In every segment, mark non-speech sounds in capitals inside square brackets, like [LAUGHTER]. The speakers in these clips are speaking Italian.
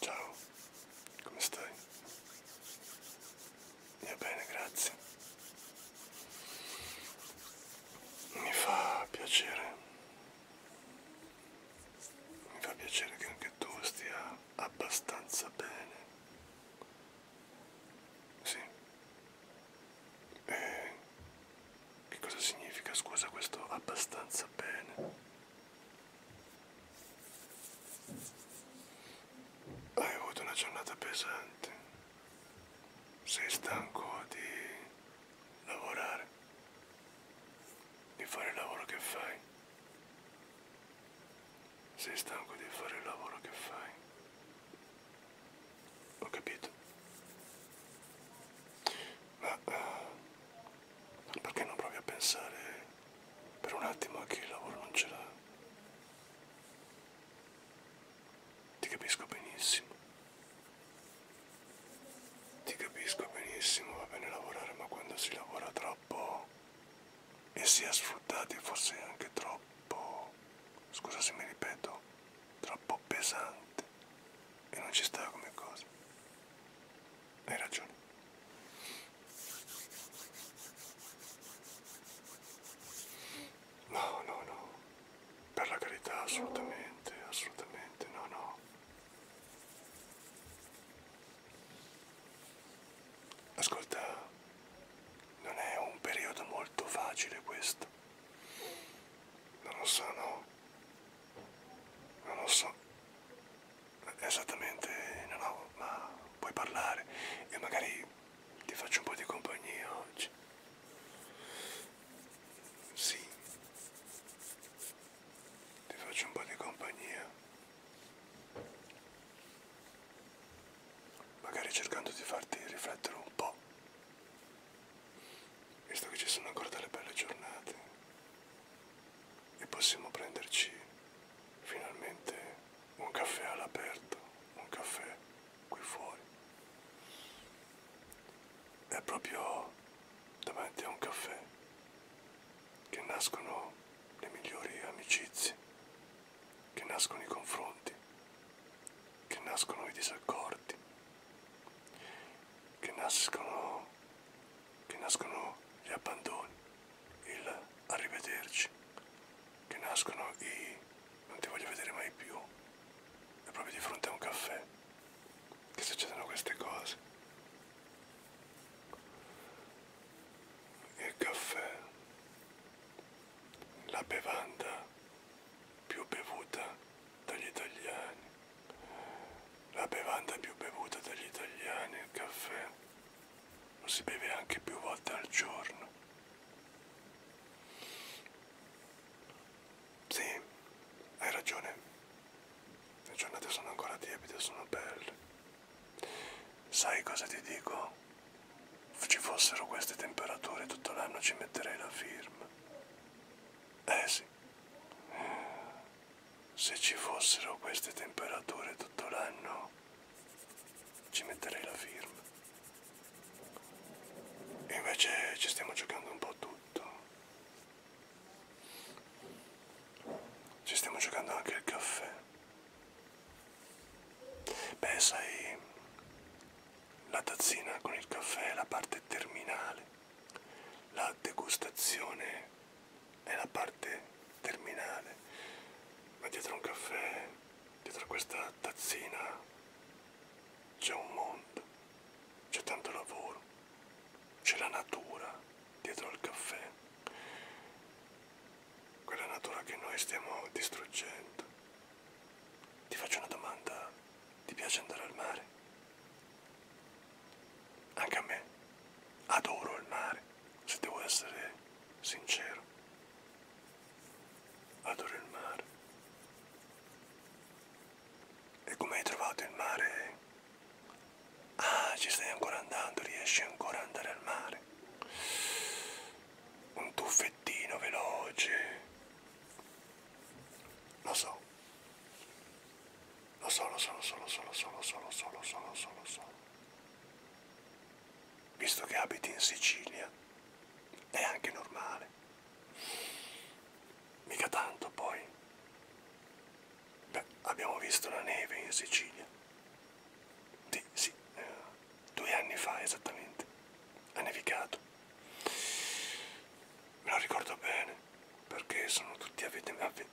Ciao, come stai? Io bene, grazie. Mi fa piacere. Mi fa piacere che anche tu stia abbastanza bene. Sì. E che cosa significa, scusa, questo abbastanza bene? Hai avuto una giornata pesante. Sei stanco di lavorare, di fare il lavoro che fai. Sei stanco di fare il lavoro che fai. Ho capito. Ma eh, perché non provi a pensare per un attimo a chi il lavoro non ce l'ha? Ti capisco benissimo. Ti capisco benissimo, va bene lavorare, ma quando si lavora troppo e si è sfruttati forse anche troppo, scusa se mi ripeto, troppo pesante e non ci stava come cosa. Hai ragione. No, no, no. Per la carità, assolutamente, assolutamente, no, no. Ascolta, non è un periodo molto facile questo. Non lo so, no non lo so esattamente non ho ma puoi parlare e magari ti faccio un po' di compagnia oggi sì ti faccio un po' di compagnia magari cercando di farti riflettere un po' visto che ci sono ancora delle belle giornate e possiamo prenderci finalmente un caffè all'aperto, un caffè qui fuori. È proprio davanti a un caffè che nascono le migliori amicizie, che nascono i confronti, che nascono i disaccordi, che nascono, che nascono gli abbandoni, il arrivederci, che nascono i non ti voglio vedere mai più, è proprio di fronte a un caffè che succedono queste cose. Il caffè, la bevanda più bevuta dagli italiani la bevanda più bevuta dagli italiani, il caffè, lo si beve anche più volte al giorno. Sì, hai ragione, le giornate sono ancora tiepide, sono belle. Sai cosa ti dico? Se ci fossero queste temperature tutto l'anno ci metterei la firma. Eh sì, se ci fossero queste temperature tutto l'anno ci metterei la firma. Invece ci stiamo giocando un po' tutto. Ci stiamo giocando anche il caffè. Beh, sai, la tazzina con il caffè è la parte terminale, la degustazione è la parte terminale, ma dietro un caffè, dietro questa tazzina c'è un mondo, c'è tanto lavoro, c'è la natura dietro al caffè, quella natura che noi stiamo distruggendo ti faccio una domanda, ti piace andare al mare? Anche a me, adoro il mare, se devo essere sincero. Adoro il mare. E come hai trovato il mare? Ah, ci stai ancora andando, riesci ancora ad andare al mare. Un tuffettino veloce lo so. Lo so, lo so, lo so, lo so, lo so, lo so, lo so, lo so, lo so, lo so. Visto che abiti in Sicilia, è anche normale. Mica tanto poi. Beh, abbiamo visto la neve in Sicilia. Di, sì, eh, due anni fa esattamente. Ha nevicato. Me lo ricordo bene, perché sono tutti avvenimenti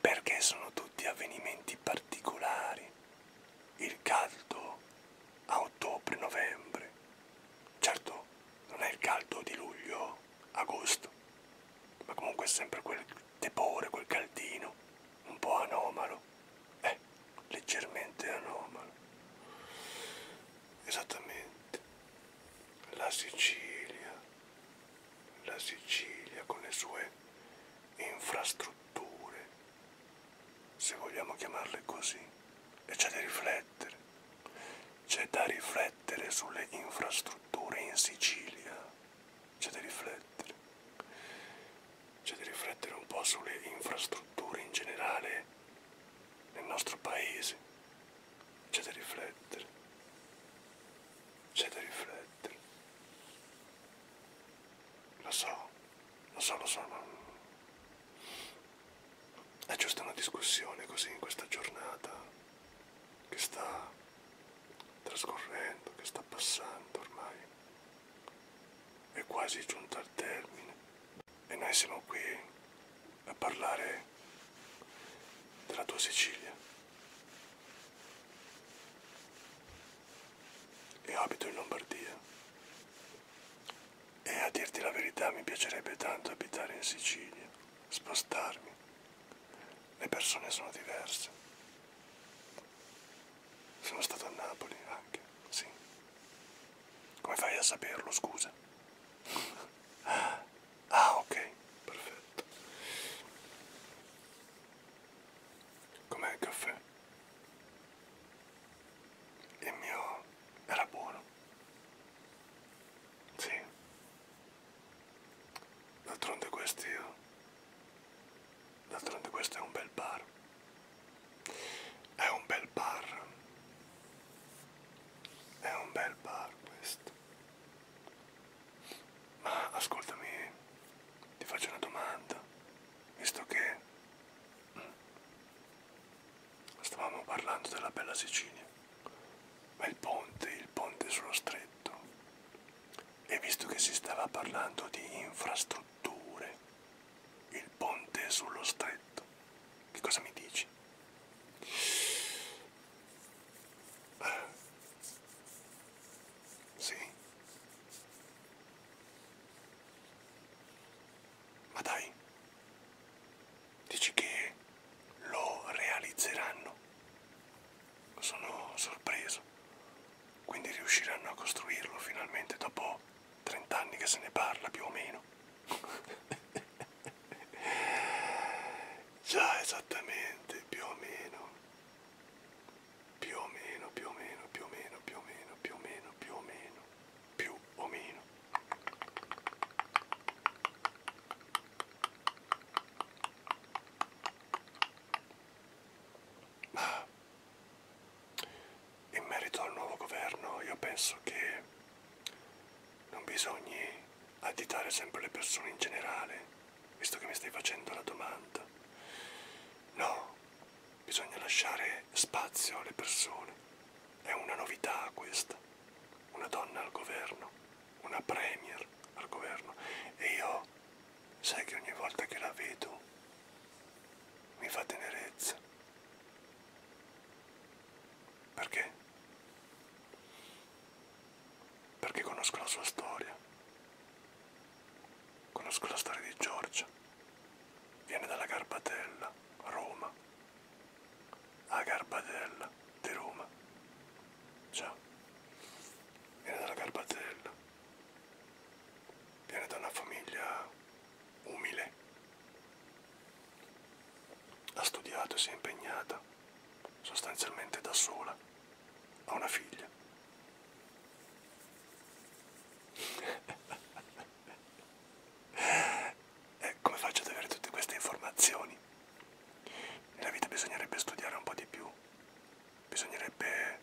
perché sono tutti avvenimenti particolari. Il caldo a ottobre-novembre. Certo, non è il caldo di luglio-agosto, ma comunque è sempre quel tepore, quel caldino, un po' anomalo anomalo, eh, leggermente anomalo. Esattamente, la Sicilia, la Sicilia con le sue infrastrutture, se vogliamo chiamarle così, e c'è da riflettere, c'è da riflettere sulle infrastrutture in Sicilia, c'è da riflettere c'è di riflettere un po' sulle infrastrutture in generale nel nostro paese. C'è da riflettere. C'è da riflettere. Lo so, lo so, lo so. Non... È giusta una discussione così in questa giornata che sta trascorrendo, che sta passando ormai è quasi giunta al termine e noi siamo qui a parlare della tua Sicilia. E abito in Lombardia. E a dirti la verità mi piacerebbe tanto abitare in Sicilia, spostarmi. Le persone sono diverse. Sono stato a Napoli anche, sì. Come fai a saperlo, scusa? [LAUGHS] Ah, ok, perfetto. Com'è il caffè? Il mio era buono. Sì. D'altronde questi io d'altronde questo è un bel bar è un bel bar è un bel bar questo ma ascoltami ti faccio una domanda visto che stavamo parlando della bella Sicilia ma il ponte il ponte sullo stretto e visto che si stava parlando di infrastrutture il ponte sullo stretto. Che cosa mi dici? Sì. Ma dai, dici che lo realizzeranno? Sono sorpreso. Quindi riusciranno a costruirlo finalmente dopo 30 anni che se ne parla più o meno. [LAUGHS] Già esattamente, più o meno. Più o meno, più o meno, più o meno, più o meno, più o meno, più o meno, più o meno. Ma in merito al nuovo governo io penso che non bisogni additare sempre le persone in generale, visto che mi stai facendo la domanda. No, bisogna lasciare spazio alle persone. È una novità questa. Una donna al governo, una premier al governo. E io Sai che ogni volta che la vedo mi fa tenerezza. Perché? Perché conosco la sua storia. Conosco la storia di Giorgia. Viene dalla Garbatella, Roma. A Garbatella di Roma. Già. Viene dalla Garbatella. Viene da una famiglia umile. Ha studiato e si è impegnata sostanzialmente da sola. Ha una figlia. [LAUGHS] e eh, come faccio ad avere tutte queste informazioni? Nella vita bisognerebbe studiare un po' di più, bisognerebbe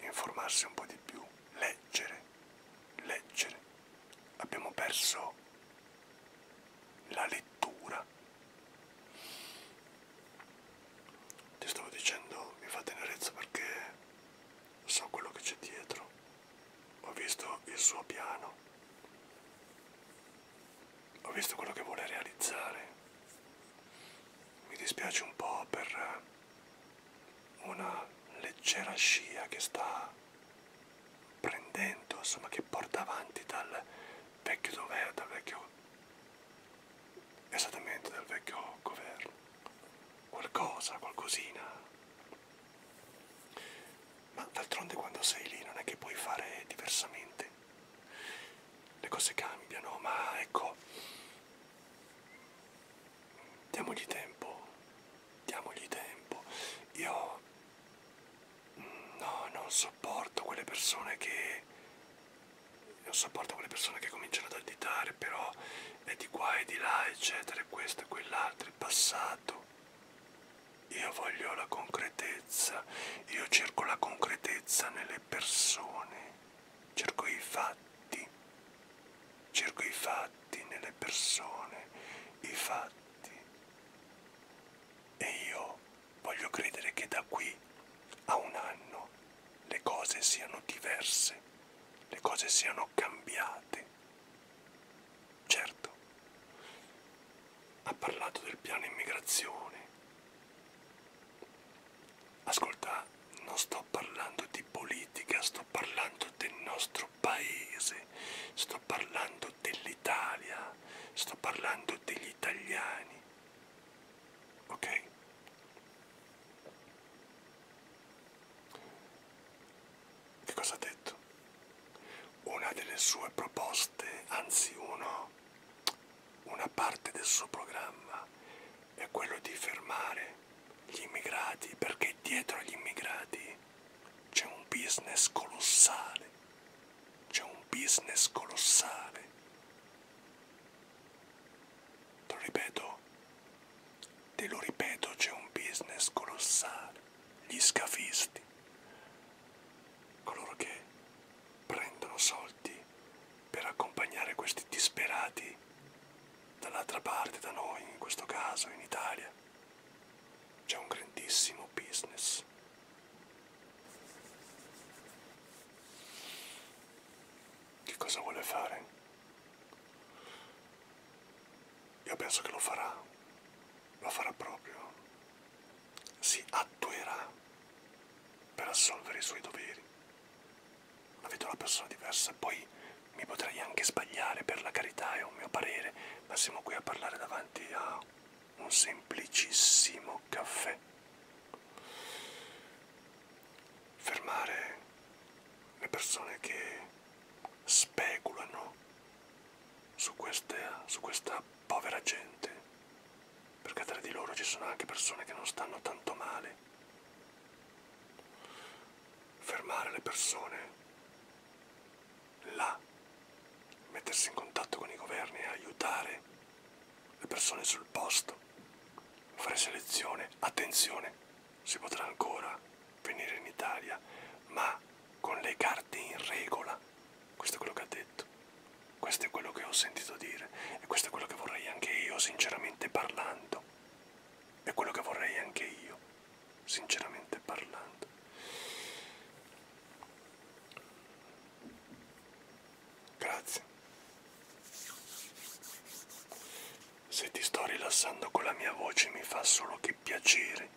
informarsi un po' di più, leggere, leggere. Abbiamo perso la lettura. Ti stavo dicendo, mi fa tenerezza perché so quello che c'è dietro. Ho visto il suo piano. Ho visto quello che vuole realizzare. Mi dispiace un po' per una leggera scia che sta prendendo, insomma che porta avanti dal vecchio dovere, dal vecchio esattamente dal vecchio governo. Qualcosa, qualcosina. Ma d'altronde quando sei lì non è che puoi fare diversamente. Le cose cambiano, ma ecco, Diamogli tempo, diamogli tempo. Io no, non sopporto quelle persone che non sopporto quelle persone che cominciano ad additare, però è di qua e di là, eccetera, questo e quell'altro, il passato. Io voglio la concretezza, io cerco la concretezza nelle persone cerco i fatti, cerco i fatti nelle persone, i fatti. E io voglio credere che da qui a un anno le cose siano diverse, le cose siano cambiate. Certo, ha parlato del piano immigrazione, Ascolta, non sto parlando di politica, sto parlando del nostro paese, sto parlando dell'Italia, sto parlando degli italiani. Ok? Che cosa ha detto? Una delle sue proposte, anzi uno, una parte del suo programma è quello di fermare gli immigrati perché dietro agli immigrati c'è un business colossale, c'è un business colossale. Te lo ripeto, te lo ripeto, c'è un business colossale. Gli scafisti, coloro che prendono soldi per accompagnare questi disperati dall'altra parte da noi, in questo caso in Italia. C'è un grandissimo business. Che cosa vuole fare? Io penso che lo farà, lo farà proprio, si attuerà per assolvere i suoi doveri la vedo una persona diversa, poi mi potrei anche sbagliare per la carità, è un mio parere, ma siamo qui a parlare davanti a un semplicissimo caffè. Fermare le persone che speculano su, queste, su questa povera gente perché tra di loro ci sono anche persone che non stanno tanto male. Fermare le persone là, mettersi in contatto con i governi e aiutare le persone sul posto, fare selezione, attenzione, si potrà ancora venire in Italia, ma con le carte in regola, questo è quello che ha detto. Questo è quello che ho sentito dire e questo è quello che vorrei anche io, sinceramente parlando. È quello che vorrei anche io, sinceramente parlando. Grazie. Se ti sto rilassando con la mia voce mi fa solo che piacere.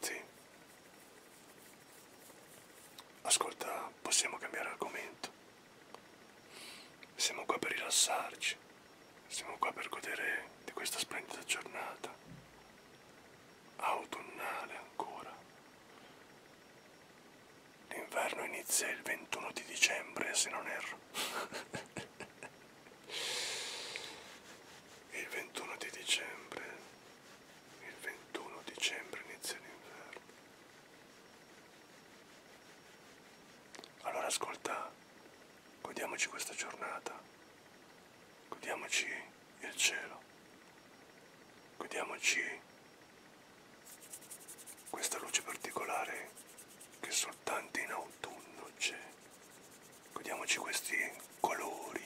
Sì. Ascolta, possiamo cambiare argomento. Siamo qua per rilassarci. Siamo qua per godere di questa splendida giornata. Autunnale ancora. L'inverno inizia il 21 di dicembre, se non erro. [LAUGHS] il 21 di dicembre il 21 dicembre inizia l'inverno. Allora ascolta, godiamoci questa giornata, godiamoci il cielo, godiamoci questa luce particolare che soltanto in autunno c'è, godiamoci questi colori.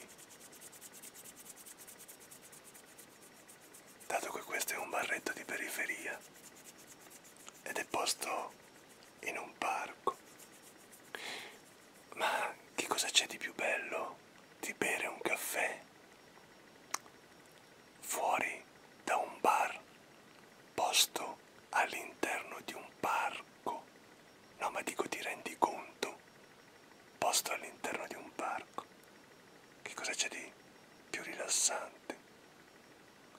Dato che questo è un barretto di periferia ed è posto in un parco, ma che cosa c'è di più bello di bere un caffè fuori da un bar posto all'interno di un parco? No, ma dico ti rendi conto posto all'interno di un parco. Che cosa c'è di più rilassante?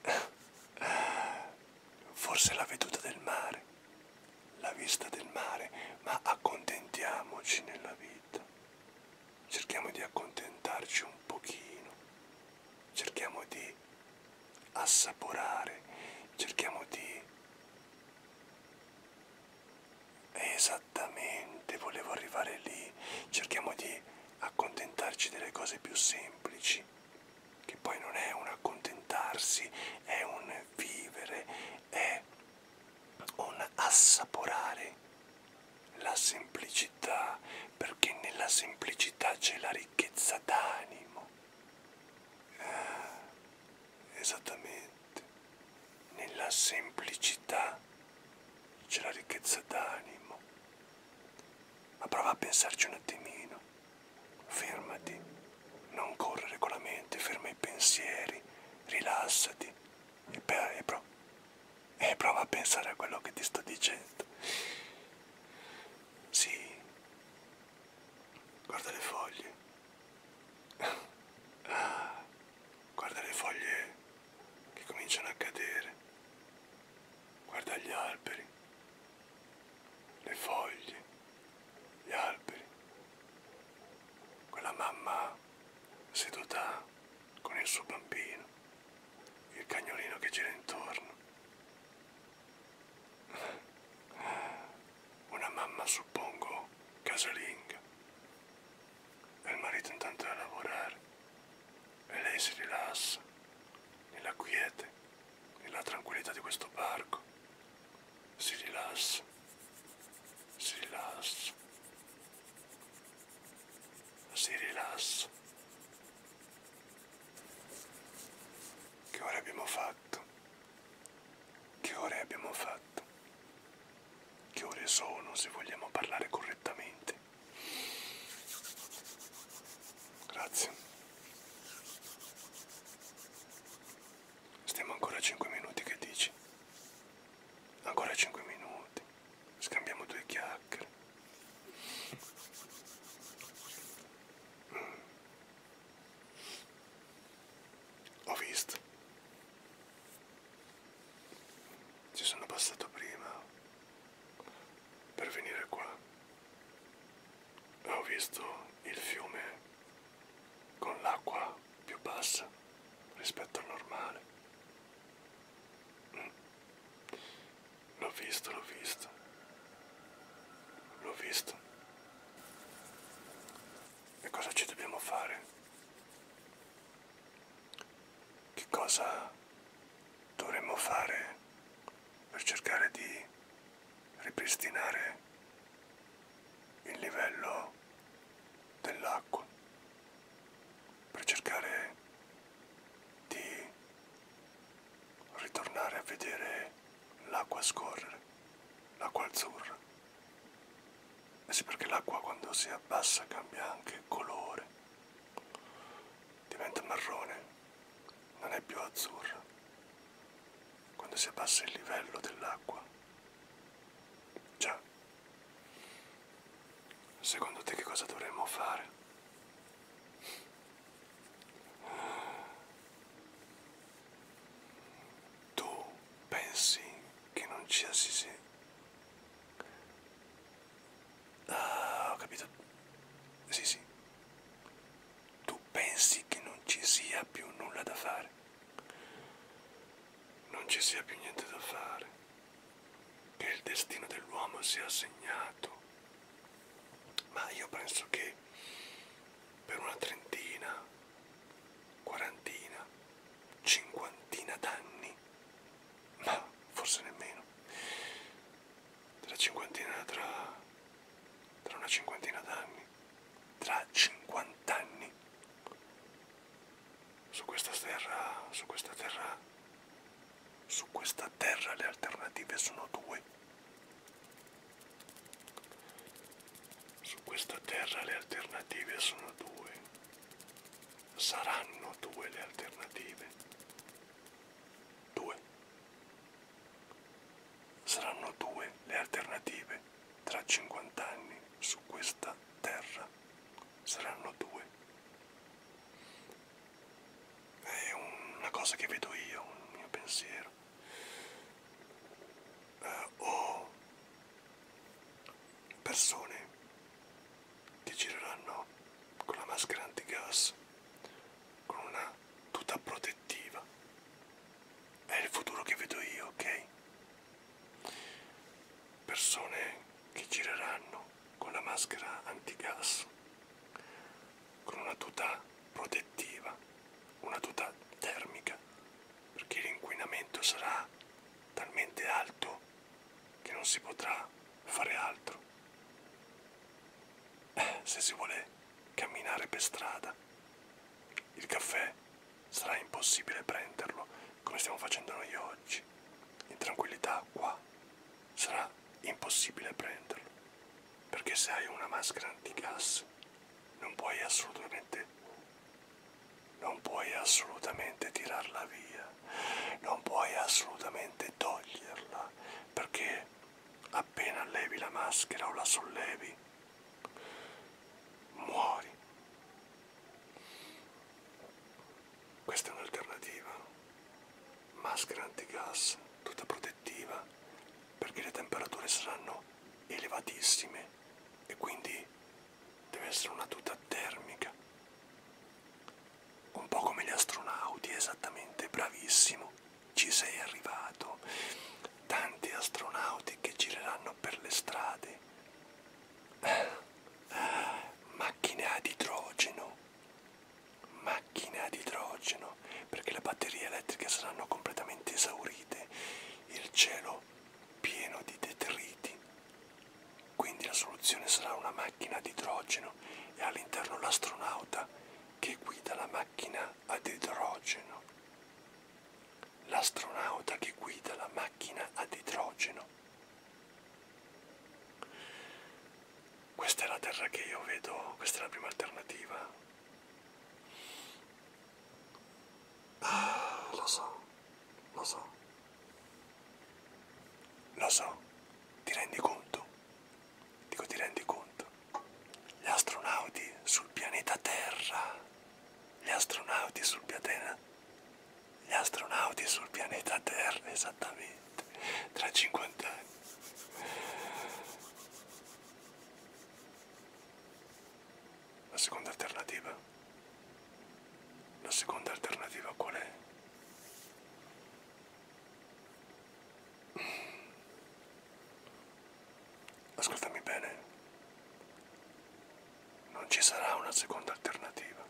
[LAUGHS] Forse la veduta del mare, la vista del mare, ma accontentiamoci nella vita. Cerchiamo di accontentarci un pochino, cerchiamo di assaporare, cerchiamo di Esattamente, volevo arrivare lì. Cerchiamo di accontentarci delle cose più semplici, che poi non è un accontentarsi, è un vivere, è un assaporare la semplicità, perché nella semplicità c'è la ricchezza d'animo. Ah, esattamente nella semplicità c'è la ricchezza d'animo ma prova a pensarci un attimino fermati non correre con la mente ferma i pensieri rilassati e, e, pro e prova a pensare a quello che ti sto dicendo sì guarda le foglie Guarda le foglie che cominciano a cadere. Guarda gli alberi. Le foglie. Gli alberi. Quella mamma seduta con il suo bambino. Il cagnolino che gira intorno. Una mamma, suppongo, casalinga. E il marito intanto è a lavorare. E lei si rilassa, nella quiete, nella tranquillità di questo parco. Si rilassa, si rilassa, si rilassa. Che ora abbiamo fatto? Che ore abbiamo fatto? Che ore sono se vogliamo parlare correttamente? Grazie. Stiamo ancora a 5 minuti, che dici? Ancora 5 minuti. Scambiamo due chiacchiere. Mm. Ho visto. Ci sono passato prima per venire qua. Ho visto il fiume con l'acqua più bassa rispetto al normale. Mm. L'ho visto, l'ho visto. L'ho visto. E cosa ci dobbiamo fare? Che cosa dovremmo fare per cercare di ripristinare il livello dell'acqua? Per cercare di ritornare a vedere l'acqua scorrere, l'acqua azzurra. Eh sì, perché l'acqua quando si abbassa cambia anche colore, diventa marrone, non è più azzurra. Quando si abbassa il livello dell'acqua. Già. Secondo te che cosa dovremmo fare? tu pensi che non ci assisi ah ho capito sì sì tu pensi che non ci sia più nulla da fare non ci sia più niente da fare che il destino dell'uomo sia segnato ma io penso che per una trentina, quarantina, cinquantina d'anni, ma forse nemmeno. Tra cinquantina, tra, tra una cinquantina d'anni, tra cinquant'anni, su questa terra, su questa terra, su questa terra le alternative sono due. Su questa terra le alternative sono due, saranno due le alternative, due, saranno due le alternative tra 50 anni su questa terra, saranno due. È una cosa che vedo io, un mio pensiero davvero. Eh, o persone che gireranno con la maschera antigas, con una tuta protettiva. È il futuro che vedo io, ok? Persone che gireranno con la maschera antigas con una tuta protettiva, una tuta termica, perché l'inquinamento sarà talmente alto che non si potrà fare altro. Eh, se si vuole camminare per strada, il caffè sarà impossibile prenderlo come stiamo facendo noi oggi. In tranquillità qua sarà impossibile prenderlo perché se hai una maschera antigas non puoi assolutamente non puoi assolutamente tirarla via non puoi assolutamente toglierla perché appena levi la maschera o la sollevi muori questa è un'alternativa maschera antigas tutta protetta protettiva perché le temperature saranno elevatissime e quindi deve essere una tuta termica un po' come gli astronauti esattamente bravissimo ci sei arrivato tanti astronauti che gireranno per le strade ah, macchine ad idrogeno macchine ad idrogeno perché le batterie elettriche saranno completamente esaurite, il cielo pieno di detriti, quindi la soluzione sarà una macchina ad idrogeno e all'interno l'astronauta che guida la macchina ad idrogeno. L'astronauta che guida la macchina ad idrogeno. Questa è la terra che io vedo, questa è la prima alternativa. Ah, lo so, lo so. Lo so, ti rendi conto? Dico ti rendi conto. Gli astronauti sul pianeta Terra. Gli astronauti sul pianeta. Gli astronauti sul pianeta Terra, esattamente. Tra 50 anni. La seconda alternativa? La seconda alternativa qual è? Ascoltami bene. Non ci sarà una seconda alternativa.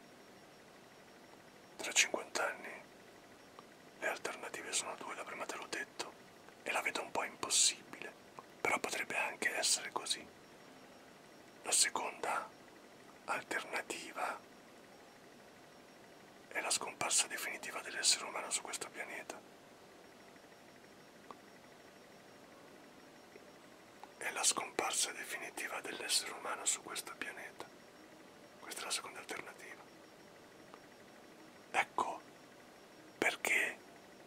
Tra 50 anni le alternative sono due, la prima te l'ho detto e la vedo un po' impossibile, però potrebbe anche essere così. La seconda alternativa è la scomparsa definitiva dell'essere umano su questo pianeta. È la scomparsa definitiva dell'essere umano su questo pianeta. Questa è la seconda alternativa. Ecco perché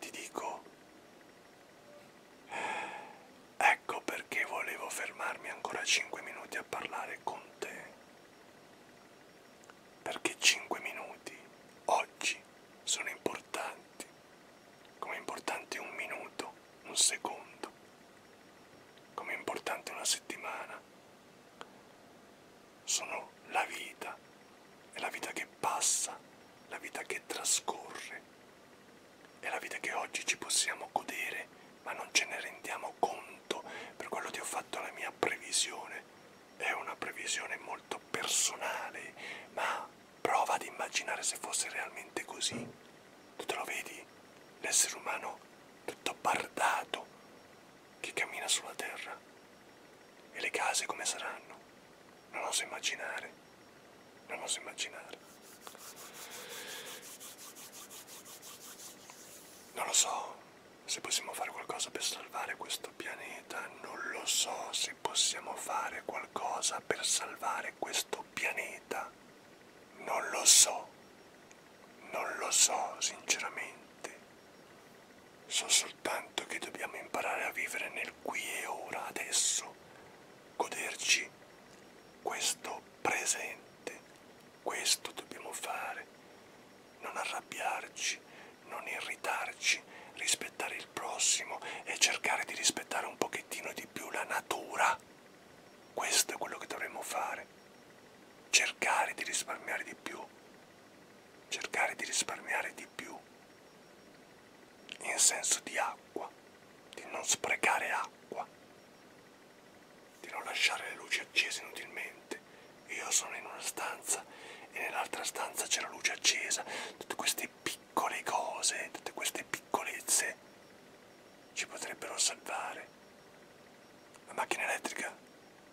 ti dico, ecco perché volevo fermarmi ancora 5 minuti a parlare con te. Perché 5 minuti oggi sono importanti, come importante un minuto, un secondo, come importante una settimana, sono la vita, è la vita che passa, la vita che trascorre, è la vita che oggi ci possiamo godere, ma non ce ne rendiamo conto. Per quello ti ho fatto la mia previsione. È una previsione molto personale, ma prova ad immaginare se fosse realmente così. Tu te lo vedi? L'essere umano tutto bardato, che cammina sulla terra. E le case come saranno? Non oso immaginare. Non oso immaginare. Non lo so se possiamo fare qualcosa per salvare questo pianeta. Non lo so se possiamo fare qualcosa per salvare questo pianeta. Non lo so. Non lo so, sinceramente. So soltanto che dobbiamo imparare a vivere nel qui e ora, adesso, goderci questo presente. Questo dobbiamo fare. Non arrabbiarci, non irritarci, rispettare il prossimo e cercare di rispettare un pochettino di più la natura. Questo è quello che dovremmo fare cercare di risparmiare di più, cercare di risparmiare di più in senso di acqua, di non sprecare acqua, di non lasciare le luci accese inutilmente. Io sono in una stanza e nell'altra stanza c'è la luce accesa, tutte queste piccole cose, tutte queste piccolezze ci potrebbero salvare. La macchina elettrica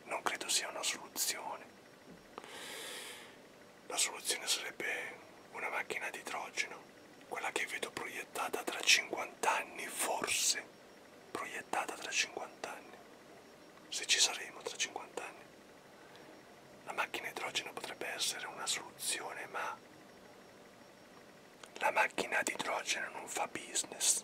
non credo sia una soluzione. La soluzione sarebbe una macchina ad idrogeno, quella che vedo proiettata tra 50 anni, forse, proiettata tra 50 anni, se ci saremo tra 50 anni. La macchina idrogeno potrebbe essere una soluzione, ma la macchina ad idrogeno non fa business.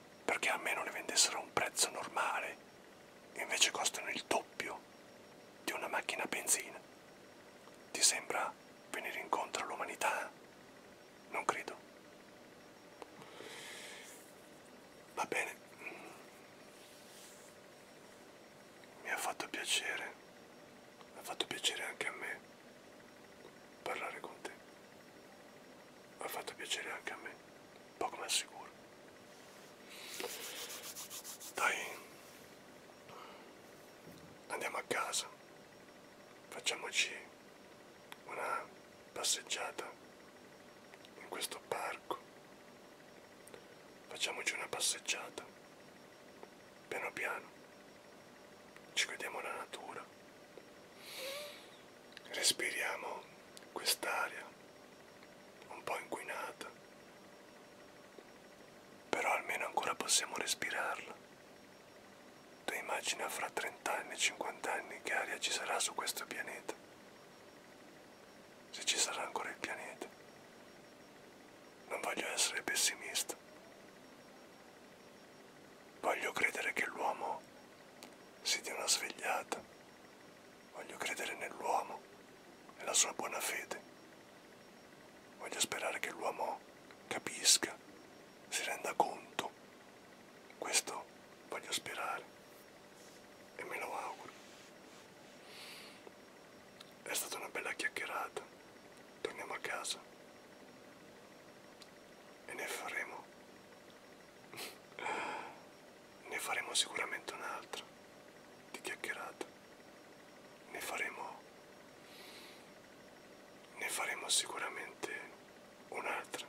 perché a meno le vendessero a un prezzo normale, invece costano il doppio di una macchina a benzina. Ti sembra venire incontro all'umanità? Non credo. Va bene. Mi ha fatto piacere. Ha fatto piacere anche a me parlare con te. Ha fatto piacere anche a me, poco ma sicuro. Dai, andiamo a casa, facciamoci una passeggiata in questo parco, facciamoci una passeggiata, piano piano, ci vediamo la natura. Respiriamo quest'aria un po' inquinata, però almeno ancora possiamo respirarla. Tu immagina fra 30 anni, 50 anni che aria ci sarà su questo pianeta, se ci sarà ancora il pianeta. Non voglio essere pessimista, Voglio credere che l'uomo si dia una svegliata. Voglio credere nell'uomo, nella sua buona fede. Voglio sperare che l'uomo capisca, si renda conto. Questo voglio sperare e me lo auguro. È stata una bella chiacchierata torniamo a casa e ne faremo ne faremo sicuramente un'altra di chiacchierata ne faremo ne faremo sicuramente un'altra